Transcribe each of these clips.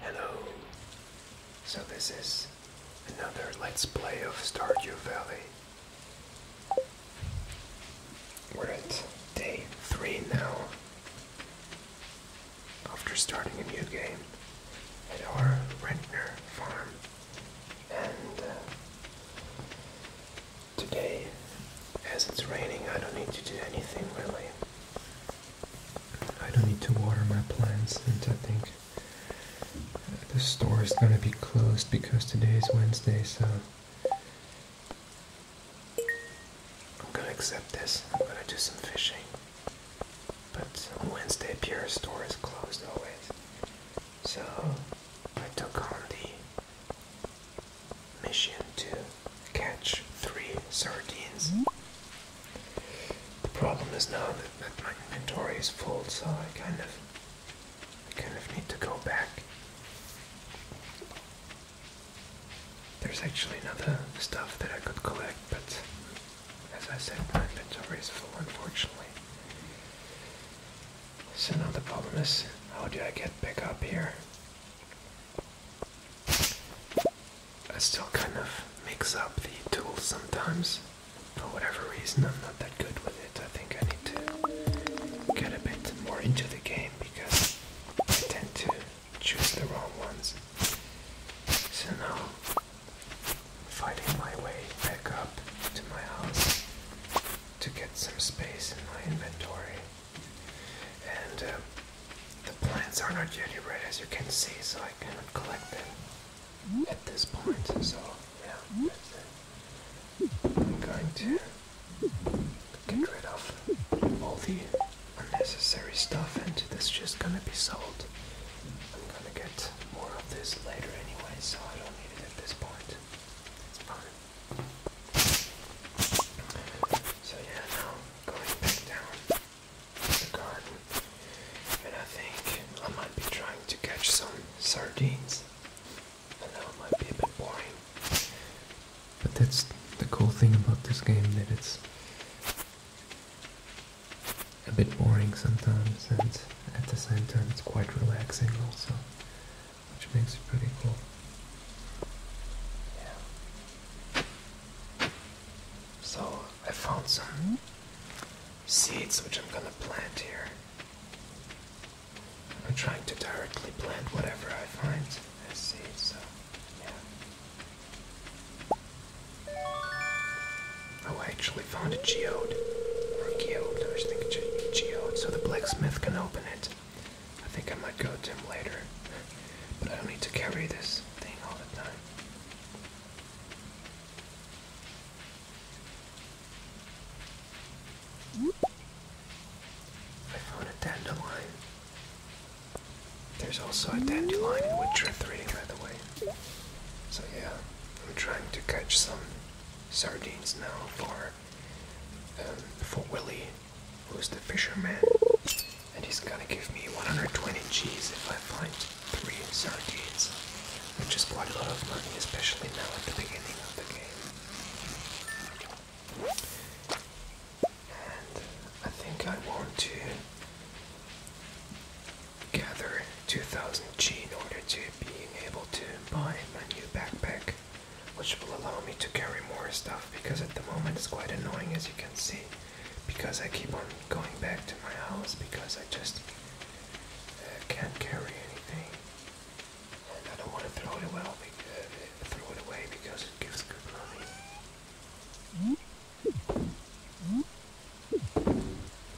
Hello. So this is another Let's Play of Stardew Valley. We're at day three now. After starting a new game at our Rentner farm. And uh, today, as it's raining, I don't need to do anything really. I don't need to water my plants and I think uh, the store is gonna be closed because today is Wednesday, so I'm gonna accept this. I'm gonna do some fishing. But on Wednesday, pure store is closed always. So I took on the mission to catch three sardines. The problem is now that, that my inventory is full, so I kind of I kind of need to go back. There's actually another stuff that I could collect, but as I said, my inventory is full, unfortunately. So now the problem is, how do I get back up here? I still kind of mix up the tools sometimes. For whatever reason, I'm not that good with it. I think I need to get a bit more into the game because I tend to choose the wrong ones. So now, fighting my way back up to my house to get some space in my inventory. And um, the plants are not yet red, as you can see, so I cannot collect them at this point. So, yeah, I'm going to get rid of all the unnecessary stuff, and this is just gonna be sold. I'm gonna get more of this later anyway, so I don't need it at this point. So yeah, now going back down the garden. And I think I might be trying to catch some sardines. I know it might be a bit boring. But that's the cool thing about this game, that it's a bit boring sometimes, and at the same time it's quite relaxing also, which makes it pretty cool. Yeah. So I found some seeds which I'm gonna plant here. I'm trying to directly plant whatever I find as seeds, so yeah. Oh, I actually found a geode. Or a geode, I was thinking ge geode, so the blacksmith can open it. I think I might go to him later, but I don't need to carry this thing all the time. I found a dandelion. There's also a dandelion in Witcher 3, by the way. So yeah, I'm trying to catch some sardines now for um, for Willy who is the fisherman, and he's gonna give me 120 G's if I find three sardines, which is quite a lot of money, especially now at the beginning of the game. And I think I want to gather 2000 G in order to being able to buy my new backpack, which will allow me to carry more stuff because at the moment it's quite annoying as you can see because I keep on going back to my house because I just uh, can't carry anything and I don't want to throw it away, uh, throw it away because it gives good money.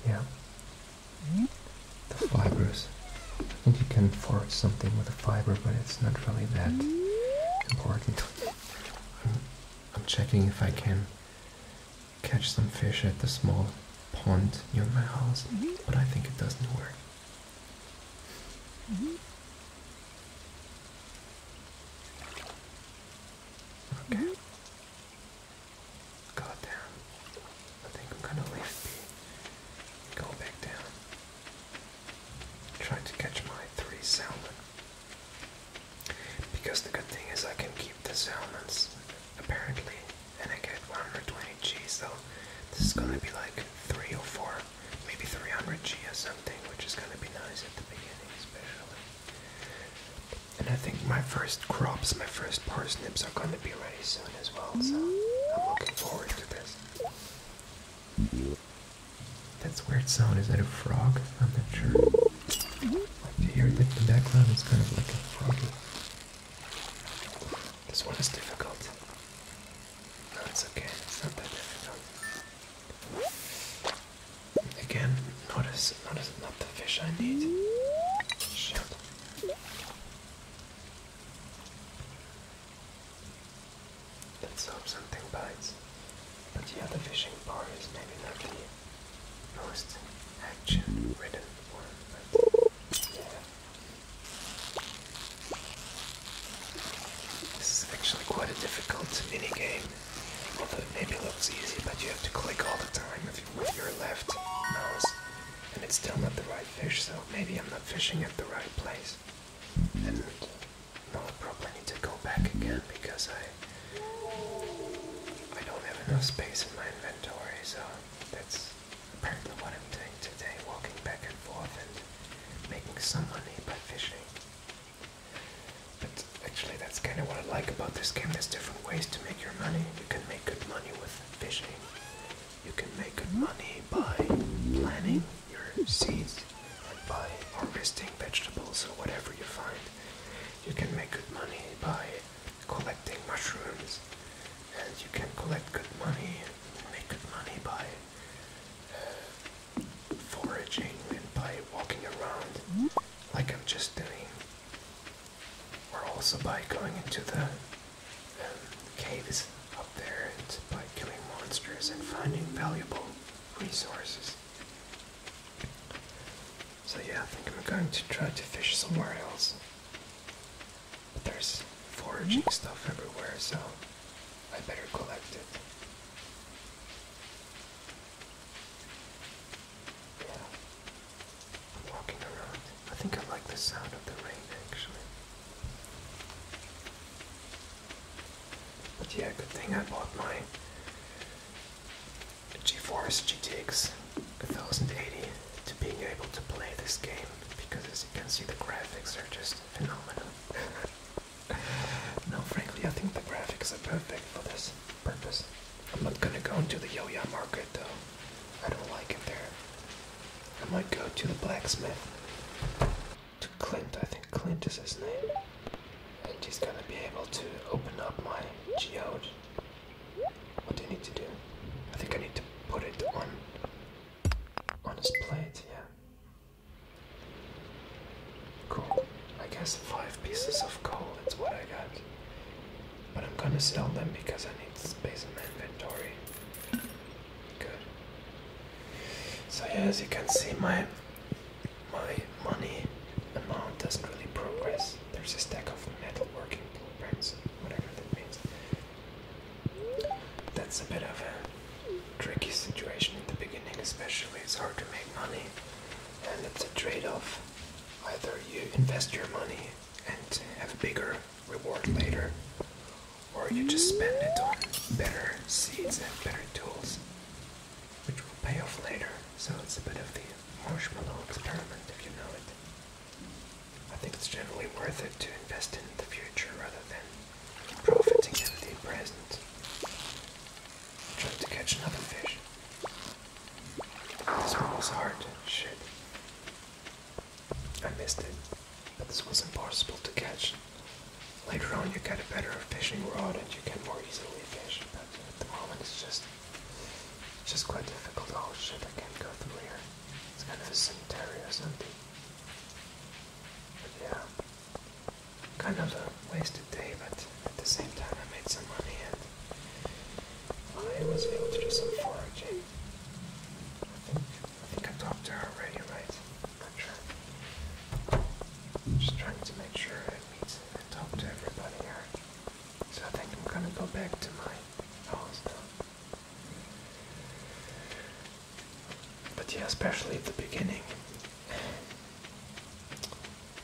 Yeah. The fibers. I think you can forge something with a fiber, but it's not really that important. I'm checking if I can catch some fish at the small pond near my house, mm-hmm. but I think it doesn't work. Mm-hmm. Okay. Mm -hmm. I think I'm gonna leave Go back down trying to catch my three salmon. Because the good thing is I can keep the salmons apparently and I get 120 G so this is gonna be like three or four, maybe 300 G or something, which is gonna be nice at the beginning especially. And I think my first crops, my first parsnips are gonna be ready soon as well, so I'm looking forward to this. That's weird sound. Is that a frog? I'm not sure. I hear that in the background is kind of like a froggy. This one is difficult. No, it's okay. It's not that difficult. Again, notice, notice, not the fish I need. Shit. Let's hope something bites. But yeah, the fishing bar is maybe not the most action-ridden one, This is actually quite a difficult mini game. Although it maybe looks easy, but you have to click all the time with your left mouse. And it's still not the right fish, so maybe I'm not fishing at the right place. Well, I probably need to go back again because I I don't have enough space in my inventory, so that's apparently what I'm doing today, walking back and forth and making some money by fishing. But actually that's kind of what I like about this game, there's different ways to make your money. You can make good money with fishing. You can make good money by planning your seeds and by harvesting vegetables or whatever you find. You can make good money by collecting mushrooms, and you can collect good money and make good money by uh, foraging and by walking around like I'm just doing, or also by going into the um, caves out there and by killing monsters and finding valuable resources. So yeah, I think I'm going to try to fish somewhere else. But there's foraging stuff everywhere, so I better collect it. Yeah. I'm walking around. I think I like the sound of the rain actually yeah, good thing I bought my GeForce GTX 1080 to being able to play this game because as you can see the graphics are just phenomenal. Now, frankly I think the graphics are perfect for this purpose. I'm not gonna go into the Yoya market though. I don't like it there. I might go to the blacksmith to Clint. I think Clint is his name. And he's gonna be able to open up my geode. What do I need to do? I think I need to put it on on his plate, yeah. Cool. I guess five pieces of coal, that's what I got. But I'm gonna sell them because I need space in my inventory. Good. So yeah, as you can see, my my money amount doesn't really progress. There's a stack of metal working blueprints, whatever that means. That's a bit of a tricky situation in the beginning, especially. It's hard to make money, and it's a trade-off. Either you invest your money and have a bigger reward later, or you just spend it on better seeds and better tools, which will pay off later. So it's a bit of the marshmallow experiment, if you know it. I think it's generally worth it to invest in the future rather than profiting in the present. Trying to catch another fish. This one was hard. Shit. I missed it but this was impossible to catch. Later on, you get a better fishing rod and you can more easily fish, but at the moment it's just it's just quite difficult. Oh shit, I can't go through here. It's kind of a cemetery or something. But yeah, kind of a wasted day, but at the same time, I made some money and I was able to do some foraging. I think I talked to her already, right? Just trying to make sure I meet and talk to everybody here. So I think I'm gonna go back to my house But yeah, especially at the beginning.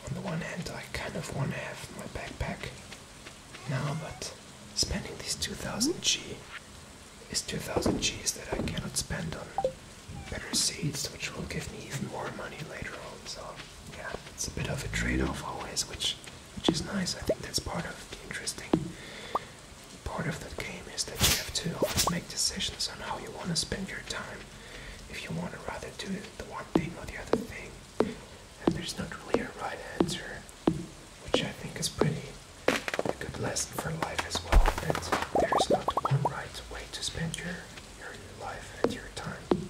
On the one hand, I kind of want to have my backpack now, but spending these 2000 G is 2,000 G's that I cannot spend on better seeds, which will give me even more money later on. So, yeah, it's a bit of a trade-off always, which which is nice. I think that's part of the interesting part of the game is that you have to always make decisions on how you want to spend your time. If you want to rather do the one thing or the other thing, and there's not really a right answer, which I think is pretty a good lesson for life as well that there is not one right way to spend your, your life and your time.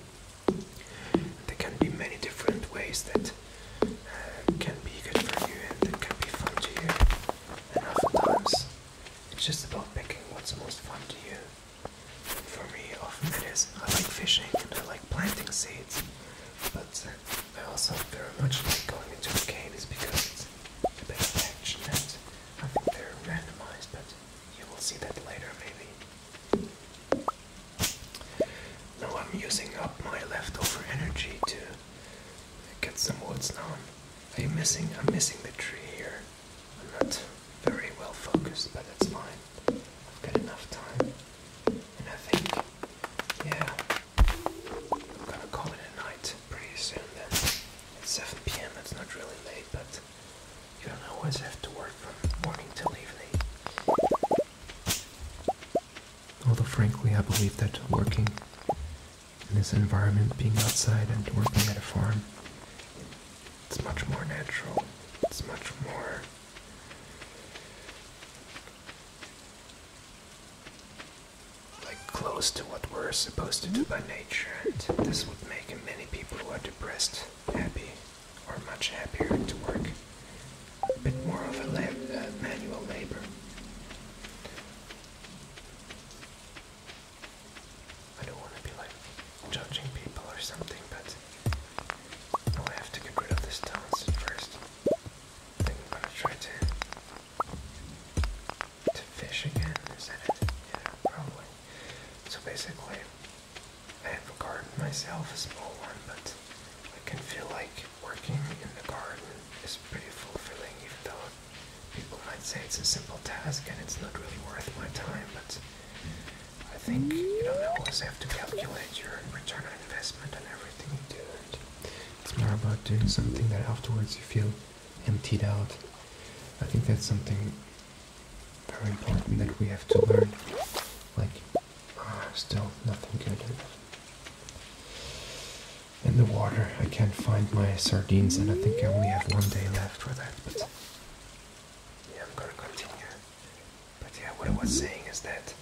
There can be many different ways that uh, can be good for you and that can be fun to you. And oftentimes, it's just about picking what's most fun to you. For me, often it is I like fishing and I like planting seeds, but I also very much like going into the caves because it's best action events. I think they're randomized, but you will see that later maybe. Now I'm using up my leftover energy to get some woods now. I'm missing I'm missing the tree here. I'm not very well focused, but that's fine. I've got enough time. And I think yeah, I'm gonna call it a night pretty soon then. It's 7 pm, it's not really late, but you don't always have to work from morning till evening. Although, frankly, I believe that working in this environment, being outside and working at a farm, it's much more natural. It's much more like close to what we're supposed to do by nature, and this would make many people who are depressed happy or much happier to work. A bit more of a uh, manual labor. I don't want to be like judging people or something, but I have to get rid of this town first. I think I'm gonna try to to fish again, is it? Yeah, probably. So basically, I have a garden myself, a small one, but I can feel like working in the garden is pretty fulfilling, even though people might say it's a simple task and it's not really worth my time, but I think, you don't always have to calculate your return on investment on everything you do. it's more about doing something that afterwards you feel emptied out. I think that's something very important that we have to learn. Like, ah, still nothing good. In the water, I can't find my sardines, and I think I only have one day left for that. But yeah, I'm gonna continue. But yeah, what I was saying is that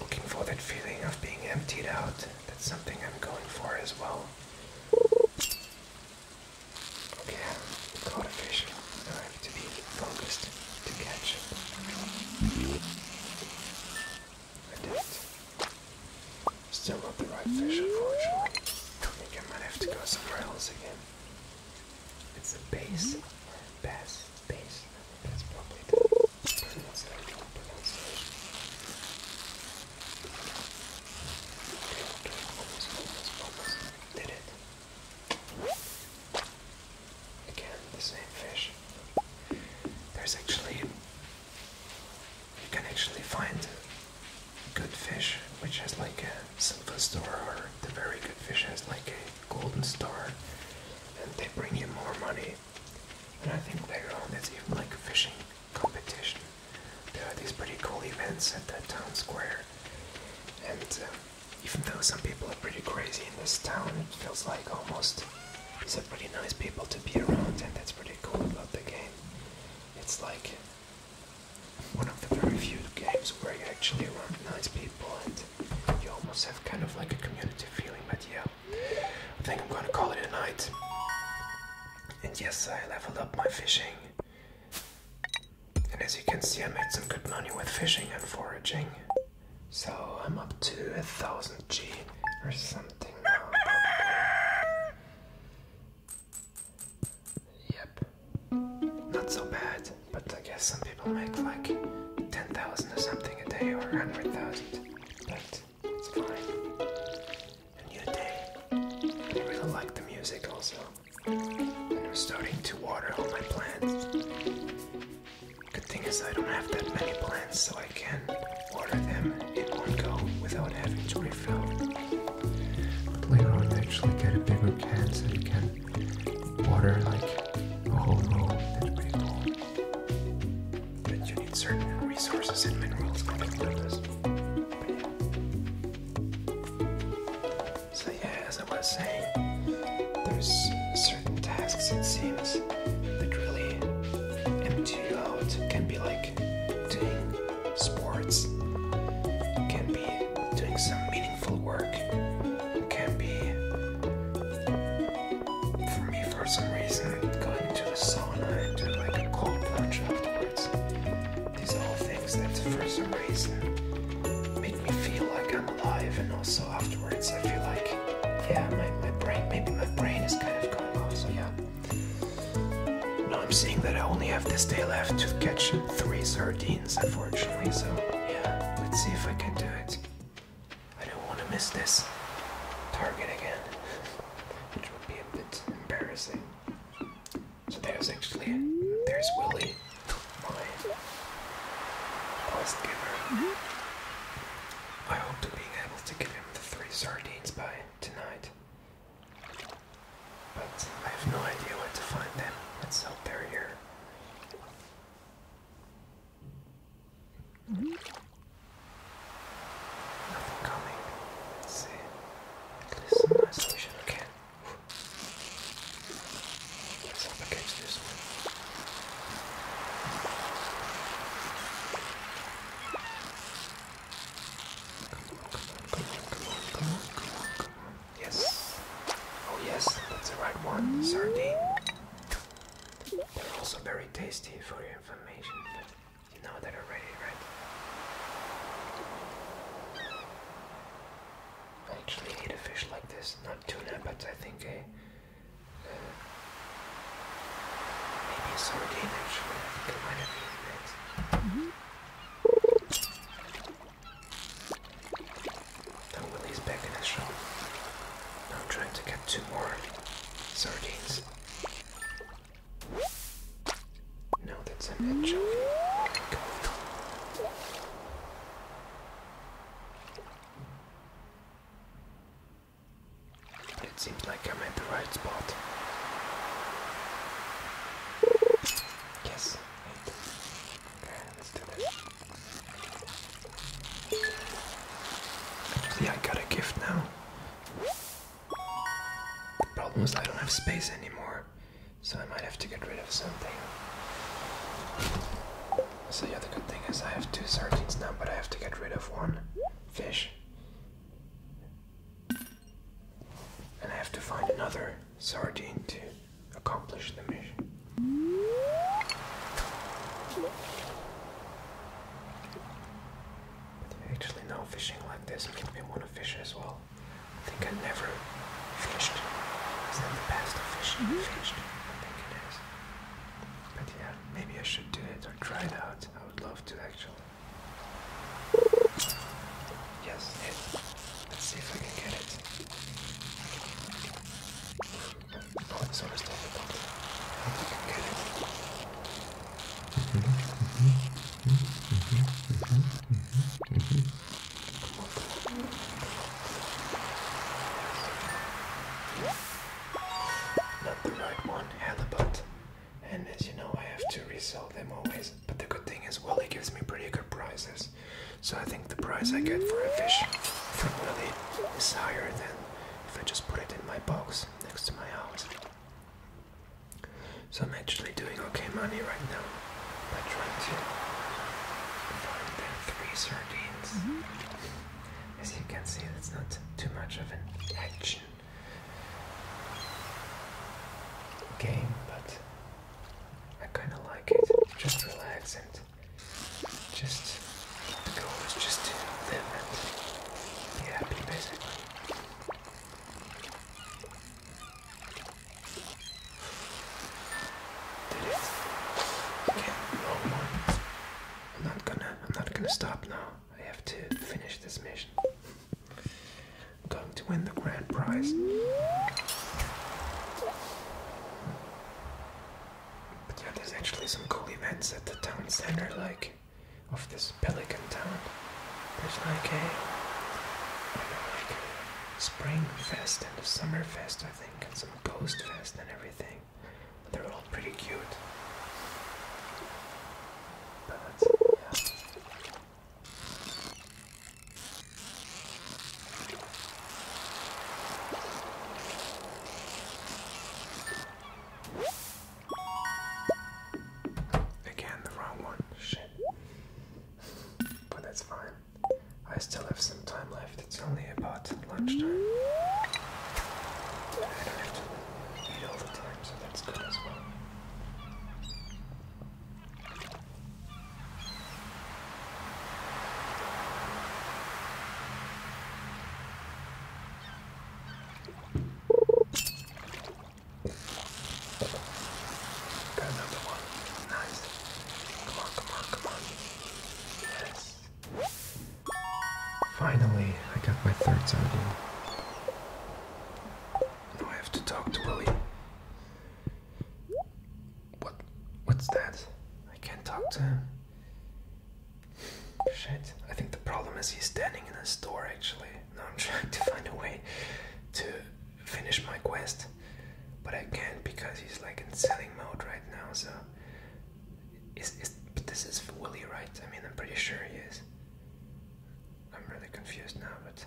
looking for that feeling of being emptied out. That's something I'm going for as well. Okay, caught a fish. Now I have to be focused to catch I did Still not the right fish, unfortunately. I think I might have to go somewhere else again. It's the base. Bass. Base. That's probably the Did it. Again, the same fish. There's actually, you can actually find good fish which has like a silver star, or the very good fish has like a golden star, and they bring you more money right? And I think later on there's even like a fishing competition. There are these pretty cool events at the town square. And uh, even though some people are pretty crazy in this town, it feels like almost these are pretty nice people to be around, and that's pretty cool about the game. It's like one of the very few games where you actually around nice people and you almost have kind of like a community feeling, but yeah, I think I'm gonna call it a night. And yes, I leveled up my fishing. And as you can see, I made some good money with fishing and foraging. So I'm up to a thousand G or something now. Yep. Not so bad, but I guess some people make like 10,000 or something a day or 100,000. But it's fine. A day. I really like the music also. And I'm starting to water all my plants. Good thing is I don't have that many plants, so I can water them in one go without having to refill. But later on, I actually get a bigger can so you can water like a whole row. That's pretty cool. But you need certain resources and minerals for the purpose. So yeah, as I was saying, there's certain tasks it seems that really empty you out. can be like doing sports, can be doing some meaningful work, can be for me, for some reason, going to the sauna and doing like a cold plunge afterwards, these are all things that for some reason make me feel like I'm alive, and also afterwards, I feel like, yeah, my, my brain, maybe my brain is kind of going off, so yeah. Now I'm seeing that I only have this day left to catch three sardines, unfortunately, so yeah, let's see if I can do it. I don't want to miss this target again, which would be a bit embarrassing. So there's actually, there's Willie, my quest giver. I hope to being able to give him the three sardines by tonight. But I have no idea where to find them. Let's hope they're here. Nothing coming. see. At least some isolation Let's up against this one. Come on, come on, come on, come on, come on, come on. Yes. Oh yes, that's the right one. Sardine. They're also very tasty for you information, but you know that already, right? I actually ate a fish like this, not tuna, but I think a. Uh, maybe a sardine actually, I think I might have eaten it. Mm -hmm. Now Willie's back in his shop. Now I'm trying to get two more Sardines. No, that's an egg it seems like I'm at the right spot. Yes. Okay, let's do this. Yeah, I got a gift now. The problem is I don't have space anymore, so I might have to get rid of something. So yeah, the good thing is I have two sardines now, but I have to get rid of one fish. And I have to find another sardine to accomplish the mission. Actually, no, fishing like this makes me want to fish as well. I think I never fished. Is that the best of fishing? Mm-hmm. Fished? I think it is. But yeah, maybe I should do it or try it out. I would love to actually. Yes, it. Let's see if I can get it. No, it's not still open. I think I get it. Mm -hmm, mm -hmm, mm -hmm, mm -hmm, mm -hmm, mm -hmm. Come on, come on. Not the right one, halibut. And as you know, I have to resell them always. But the good thing is, Willie gives me pretty good prizes. So I think the price I get for a fish from Willie is higher than if I just put it in my box next to my house. So I'm actually doing okay money right now I'm trying to I've find the three sardines. Mm-hmm. As you can see, that's not too much of an action game, but I kind of like it. Just relax and just the goal is just to live and be happy, basically. Okay, no more. I'm not gonna. I'm not gonna stop now. I have to finish this mission. I'm going to win the grand prize. But yeah, there's actually some cool events at the town center, like of this pelican town. There's like a, I don't know, like spring fest and a summer fest, I think, and some ghost fest and everything. But They're all pretty cute. But yeah. Again, the wrong one. Shit. But that's fine. I still have some time left. It's only about lunchtime. I don't eat all the time, so that's good as well. Got another one. Nice. Come on, come on, come on. Yes. Finally, I got my third sodium. Now I have to talk to Willie. What? What's that? I can't talk to him. Shit, I think the problem is he's standing in a store actually. Now I'm trying to find a way to finish my quest, but I can't because he's like in selling mode right now, so. Is, is, but this is Willy, right? I mean, I'm pretty sure he is. I'm really confused now, but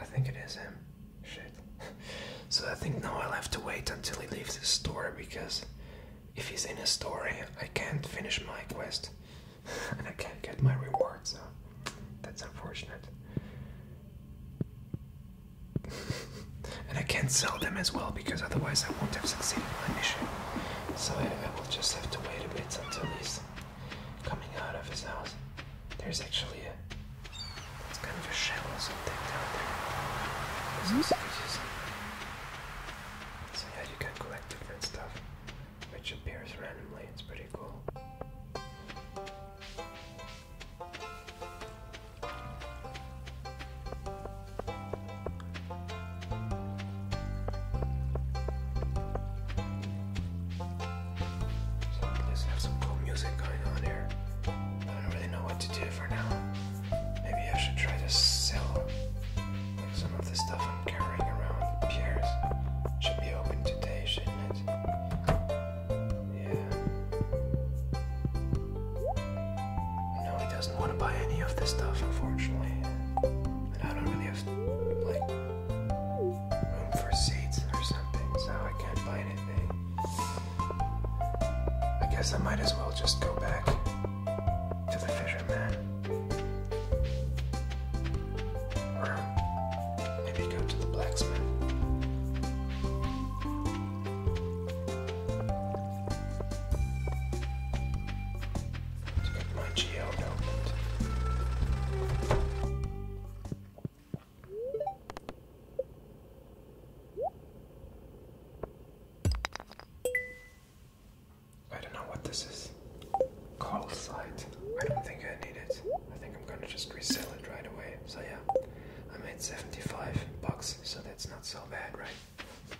I think it is him. Shit. so I think now I'll have to wait until he leaves the store because if he's in a story, I can't finish my quest and I can't get my reward, so that's unfortunate. and I can't sell them as well because otherwise I won't have succeeded in my mission. So I, will just have to wait a bit until he's coming out of his house. There's actually a it's kind of a shell or something down there. Mm so yeah, you can collect different stuff, which appears randomly. It's pretty cool. So at least have some cool music going on here. I don't really know what to do for now. Maybe I should try to sell like some of the stuff I'm carrying around. Pierce should be open today, shouldn't it? Yeah. No, he doesn't want to buy any of this stuff, unfortunately. And I don't really have like room for seats or something, so I can't buy anything. I guess I might as well just go back to the fisherman. Or maybe go to the blacksmith. To get my geode I don't know what this is. Call site. I don't think I need it. I think I'm gonna just resell it right away. So yeah, I made 75 bucks, so that's not so bad, right?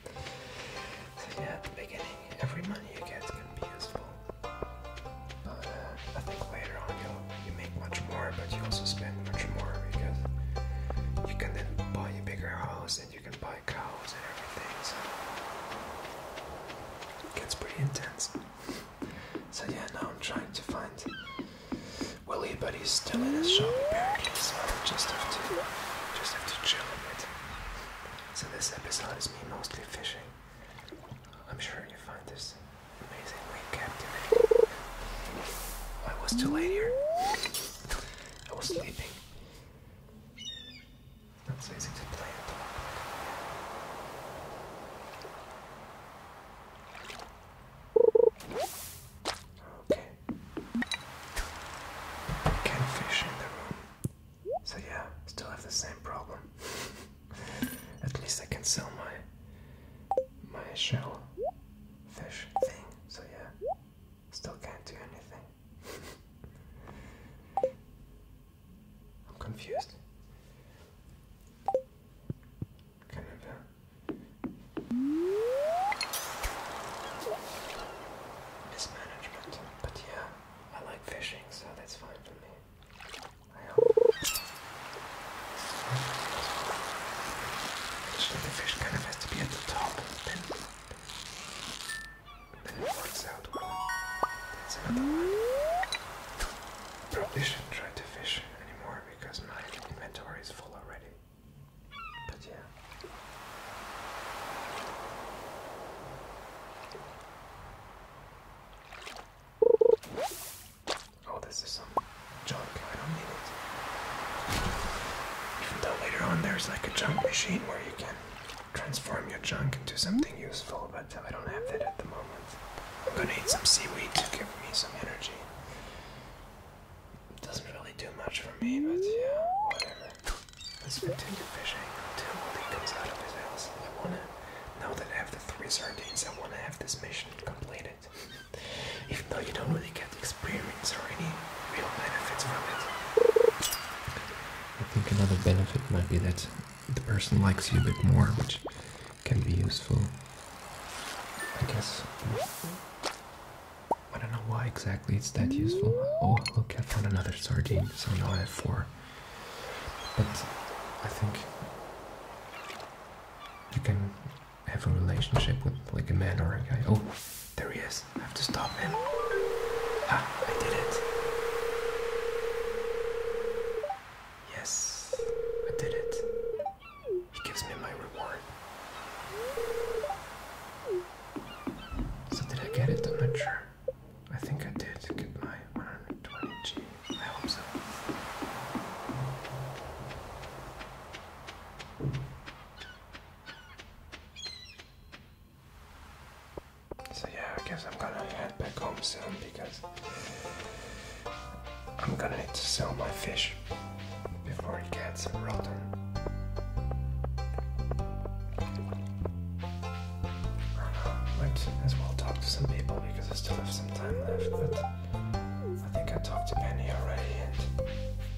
So yeah, at the beginning, every money you get can be useful. Uh, I think later on you you make much more, but you also spend much more because you can then buy a bigger house and you can buy cows and everything. So it gets pretty intense. So yeah, now I'm trying to find Willie, but he's still in his shop apparently, so I just have to just have to chill a bit. So this episode is me mostly fishing. I'm sure you find this amazingly captivating. I was too late here. I was sleeping. That's easy to play Okay. Can fish in the room. So yeah, still have the same problem. at least I can sell my my shell fish thing. So yeah. Still can't do anything. I'm confused. Can uh, Mismanagement. But yeah, I like fishing, so that's fine for me. I hope. Actually, the fish kind of has to be the top, Probably shouldn't try to fish anymore because my inventory is full already. But yeah. Oh, this is some junk, I don't need it. Even though later on there's like a junk machine where you can transform your junk into something useful, but I don't have that at the moment. I'm gonna eat some seaweed to give me some energy. It doesn't really do much for me, but yeah, whatever. Let's continue fishing until Willie comes out of his house. I wanna, know that I have the three sardines, I wanna have this mission completed. Even though you don't really get experience or any real benefits from it. I think another benefit might be that the person likes you a bit more, which can be useful. I guess. I don't know why exactly it's that useful. Oh, look, I found another sardine, so now I have four. But I think you can have a relationship with like a man or a guy. Oh, there he is. I have to stop him. Ah, I did it. Yes, I did it. He gives me my reward. So did I get it? I'm not sure. I think I did get my 120G. I hope so. So yeah, I guess I'm gonna head back home soon because I'm gonna need to sell my fish before it gets rotten. I might as well talk to some people because I still have some time left, but I think I talked to Penny already and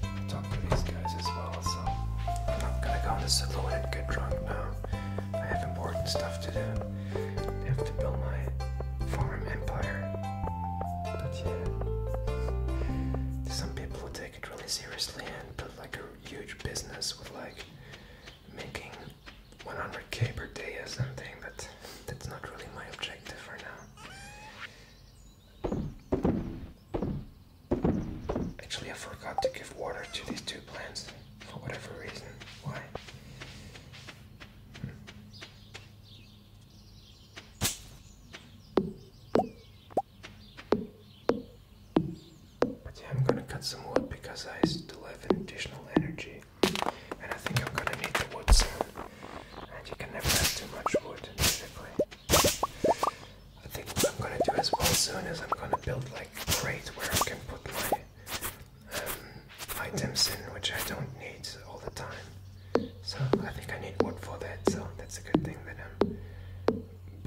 I talked to these guys as well, so I'm not gonna go in the saloon and get drunk now. I have important stuff to do. I have to build my farm empire. But yeah, some people will take it really seriously and put like a huge business with like making 100k per day or something, but that's not really my objective for now. Actually, I forgot to give water to these two plants for whatever reason. Why? But I'm gonna cut some wood because I still have an additional energy, and I think I'm gonna need the wood soon and you can never have too much wood basically. I think what I'm gonna do as well soon is I'm gonna build like a crate where I can put my um, items in which I don't need all the time. So I think I need wood for that, so that's a good thing that I'm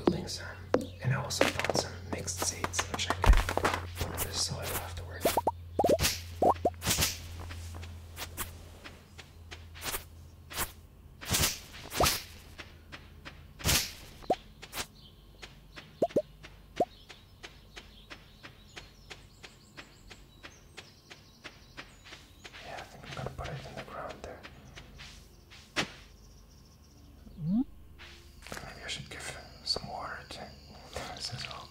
building some. And I also found some mixed seeds which I can put in the soil afterwards. Yeah, I think I'm gonna put it in the ground there. Hmm? Maybe I should give some water to this as well.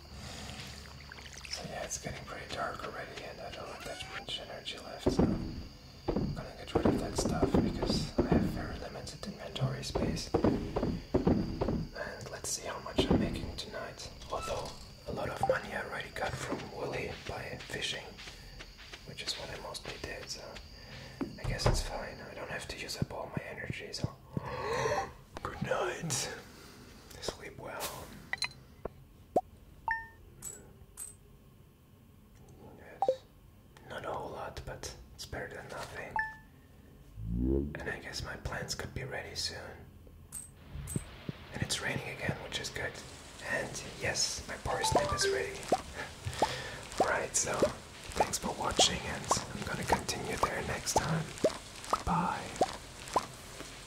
So yeah, it's getting pretty dark already, and I don't have that much energy left, so I'm gonna get rid of that stuff because I have very limited inventory space. And let's see how much I'm making tonight. Although a lot of money I already got from Willy by fishing, which is what I mostly did, so I guess it's fine. I don't have to use up all my energy, so good night. Sleep well. Yes. Not a whole lot, but it's better than nothing. And I guess my plans could be ready soon. And it's raining again, which is good. And yes, my parsnip is ready. Alright, so thanks for watching, and I'm gonna continue there next time. Bye.